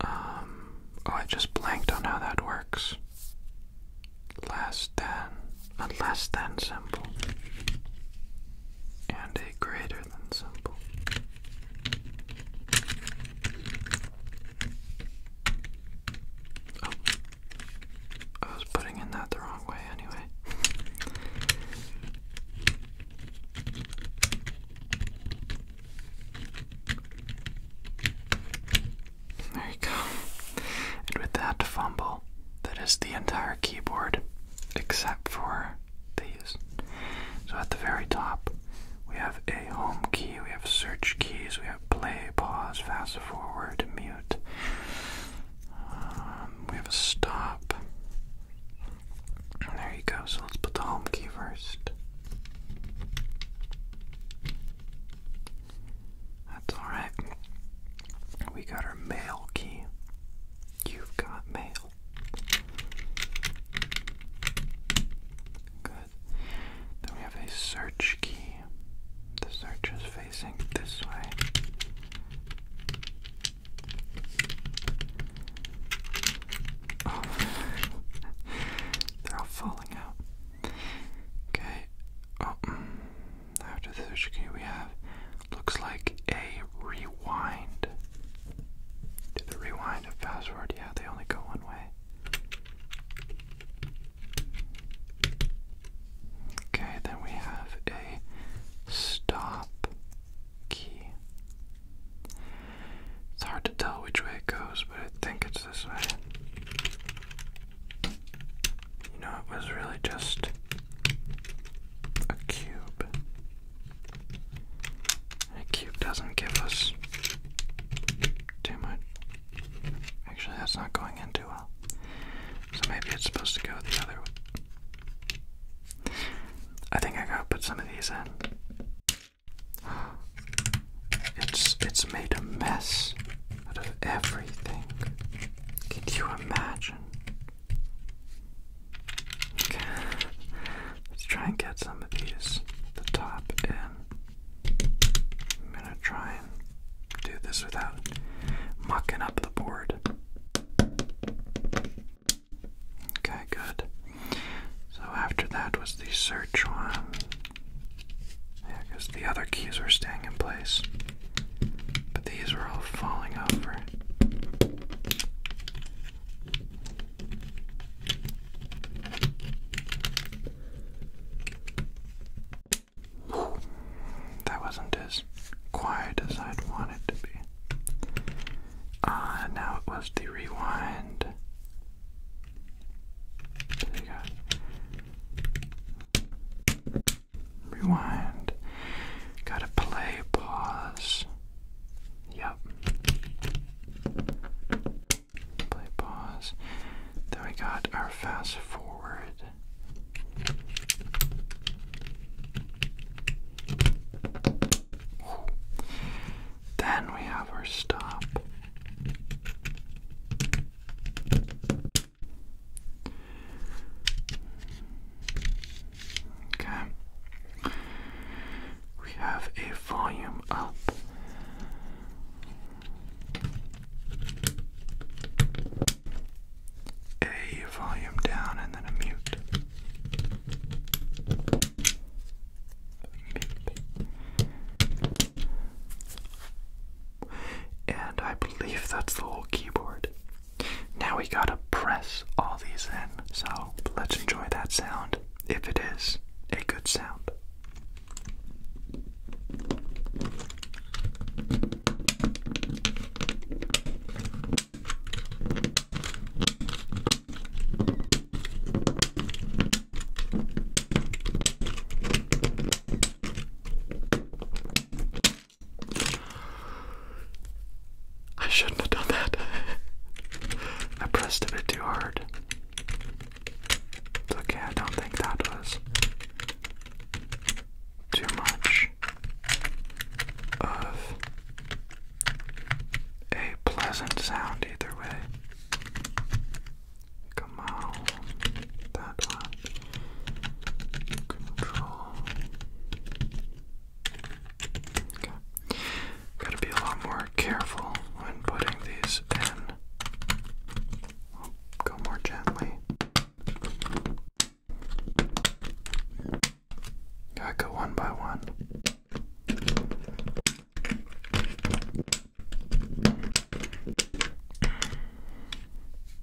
Um, oh, I just blanked on how that works less than, and less than symbol, and a greater than symbol. Oh, I was putting in that the wrong way anyway. There you go. And with that fumble, that is the entire keyboard except for these. So at the very top, we have a home key, we have search keys, we have play, pause, fast forward, mute. Um, we have a stop. there you go. So let's put the home key first. That's alright. We got our mail key. You've got mail. Good. Then we have a search key. The search is facing this way. Oh. They're all falling out. Okay. Oh, mm. After the search key, we have looks like a rewind. Do the rewind and fast forward? Yeah, they only go one way. Okay, then we have a stop key. It's hard to tell which way it goes, but I think it's this way. You know, it was really just a cube. A cube doesn't give us too much. Actually, that's not going in too well. So maybe it's supposed to go the other way. I think I gotta put some of these in. It's it's made a mess out of everything. Can you imagine? Okay. Let's try and get some of these the top in. I'm gonna try and do this without mucking up the board. Okay, good. So after that was the search one. Yeah, because the other keys were staying in place. But these were all falling over. That wasn't as quiet as I'd wanted it to be. Ah, now it was the rewind. There you go. Rewind. Gotta play, pause. Yep. Play, pause. Then we got our fast forward. Then we have our stop. Okay. We have a volume up. A volume down and then a mute. mute. And I believe that's the whole keyboard. Now we gotta press all these in, so let's enjoy that sound if it is a good sound. I shouldn't have done that. I pressed a bit too hard. okay, I don't think that was too much of a pleasant sound either way. Come on, that one. Control. Gotta be a lot more careful when putting these in. go more gently. Got to go one by one.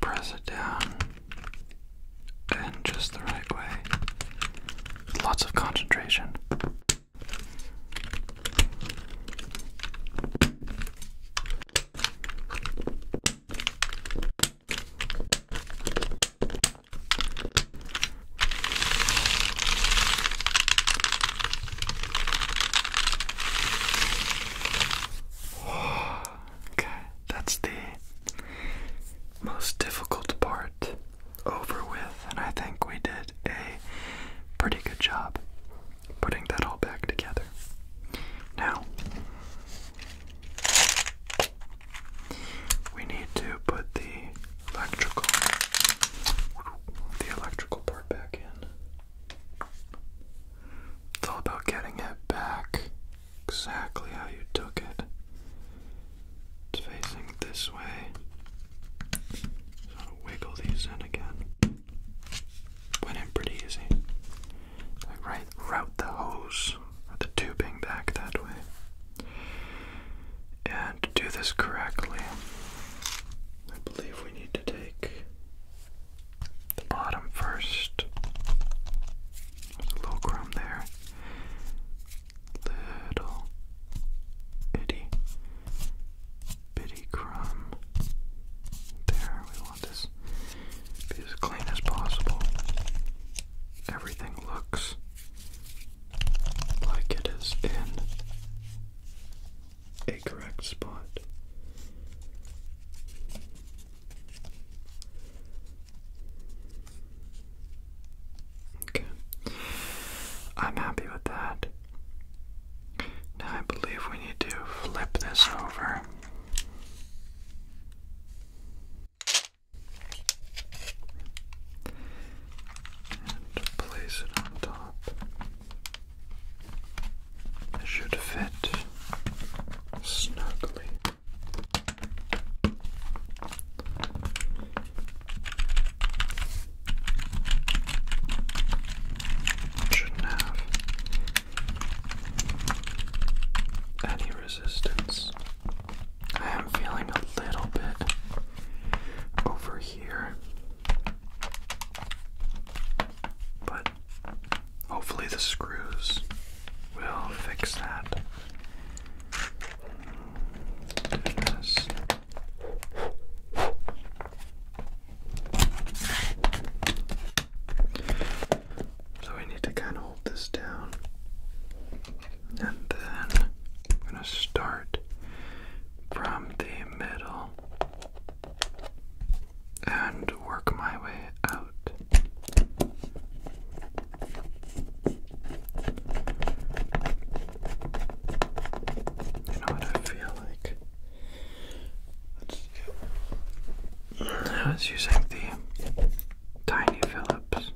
press it down in just the right way. Lots of concentration. Okay, that's the most difficult part over with, and I think we did a pretty good job putting that all back together. Now, we need to put the electrical the electrical part back in. It's all about getting it back exactly how you took it. It's facing this way. So I'll wiggle these in again went in pretty easy. Like right, route the hose or the tubing back that way. And to do this correctly, I believe we need to take the bottom first. There's a little crumb there. Little itty bitty crumb. There, we be as clean as possible. Everything looks like it is in a correct spot. Okay. I'm happy with that. I believe we need to flip this over. And place it on top. It should fit snugly. shouldn't have any resistance. I am feeling a little bit over here. But hopefully, the screws will fix that. So we need to kind of hold this down. And then I'm going to start from the middle and work my way out. You know what I feel like? I was using the Tiny Phillips.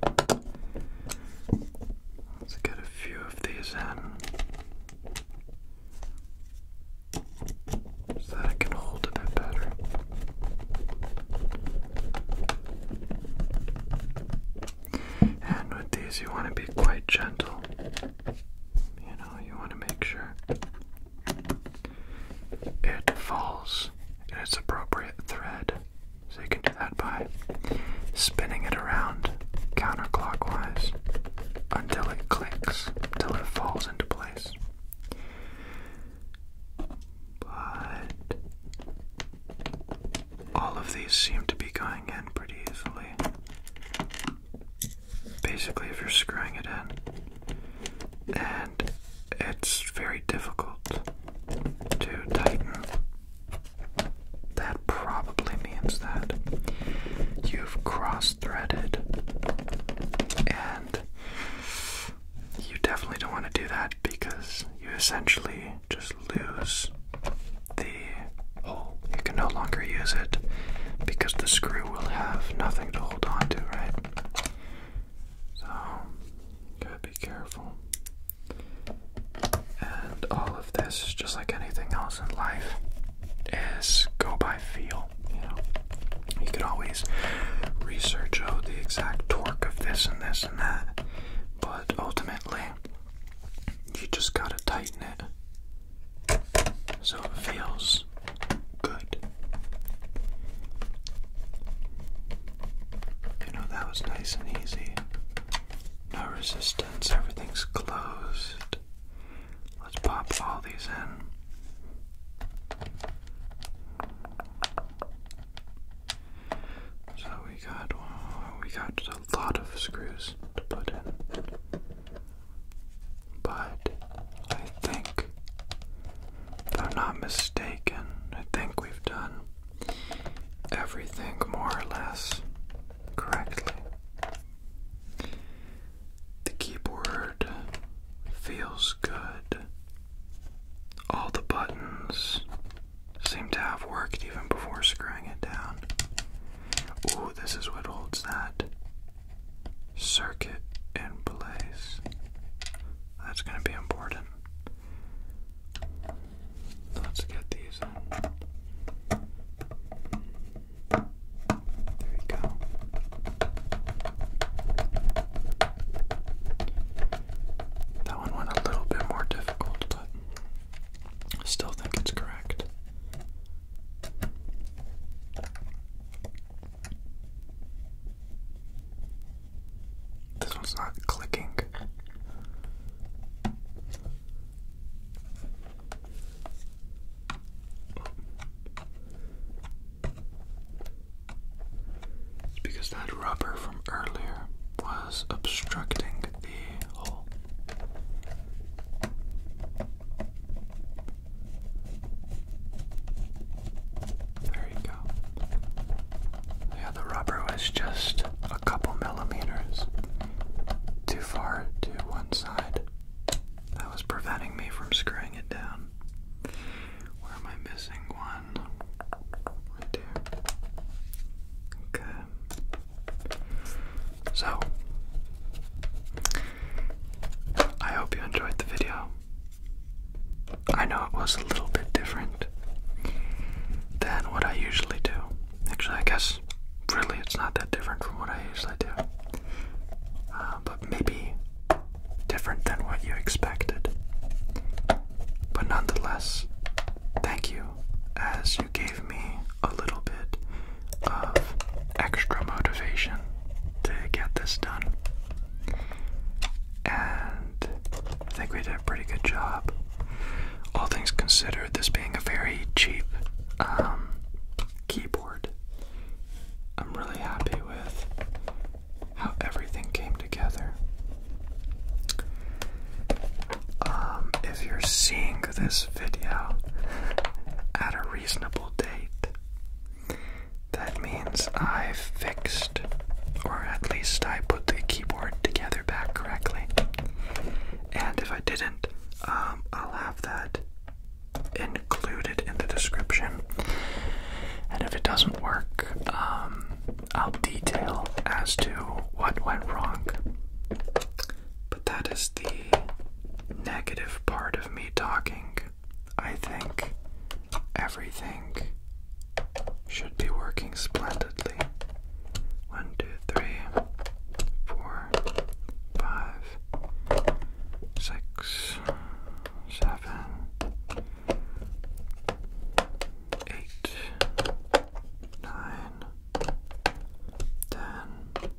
Let's get a few of these in so that I can hold a bit better. And with these, you want to be quite gentle. You know, you want to make sure it falls in its appropriate thread. So you can do that by spinning it around counterclockwise until it clicks, till it falls into place. But all of these seem to be going in pretty easily basically if you're screwing it in and it's very difficult to tighten that probably means that you've cross-threaded and you definitely don't want to do that because you essentially just lose the hole. You can no longer use it because the screw will have nothing to hold on to, right? So, gotta be careful. And all of this, just like anything else in life, is go by feel. You know, you could always research oh the exact torque of this and this and that, but ultimately, you just gotta tighten it so it feels good. You know, that was nice and easy. No resistance, everything's closed. Let's pop all these in. So we got we got a lot of screws to put in but I think, if I'm not mistaken, I think we've done everything more or less correctly. The keyboard feels good. All the buttons seem to have worked even before screwing it down. Ooh, this is what holds that circuit in place. That's going to be important. Let's get these in. There we go. That one went a little bit more difficult, but I still think it's correct. This one's not clicking. It's because that rubber from earlier was obstructing the hole. There you go. Yeah, the rubber was just a couple millimeters too far to one side. That was preventing me from screwing it down. Where am I missing one? Right there. Okay. So, I hope you enjoyed the video. I know it was a little bit different than what I usually do. Actually, I guess really it's not that different from what I usually do. Uh, but maybe different than what you expected. But nonetheless, thank you as you gave me a little bit of extra motivation to get this done. And I think we did a pretty good job. All things considered, this being a very cheap um, keyboard, I'm really happy with how everything came together. Um, if you're seeing this video at a reasonable date, that means I've fixed, or at least I put the keyboard together back correctly. And if I didn't, um, I'll have that included in the description. And if it doesn't work, um, I'll detail as to what went wrong. But that is the negative part of me talking I think everything should be working splendidly. One, two, three, four, five, six, seven, eight, nine, ten,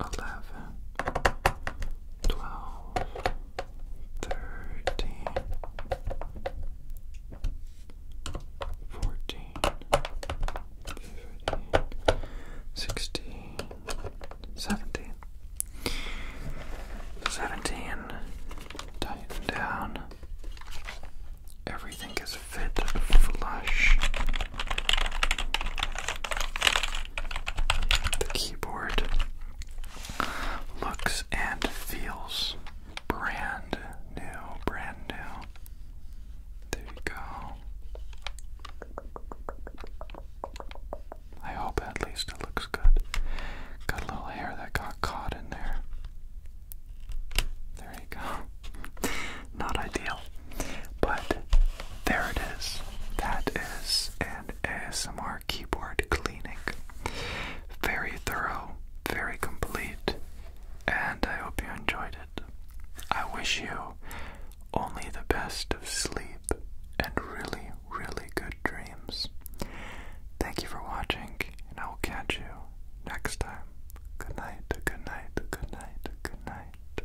eleven, twelve thirteen, fourteen, fifteen, sixteen, seventeen. Seventeen. Tighten down. Everything is fit flush. The keyboard looks and feels brand new, brand new. There you go. I hope at least it looks good. Got a little hair that got caught in there. There you go. Not ideal, but there it is. That is an ASMR keyboard clip. Very thorough, very complete, and I hope you enjoyed it. I wish you only the best of sleep and really, really good dreams. Thank you for watching, and I will catch you next time. Good night, good night, good night, good night.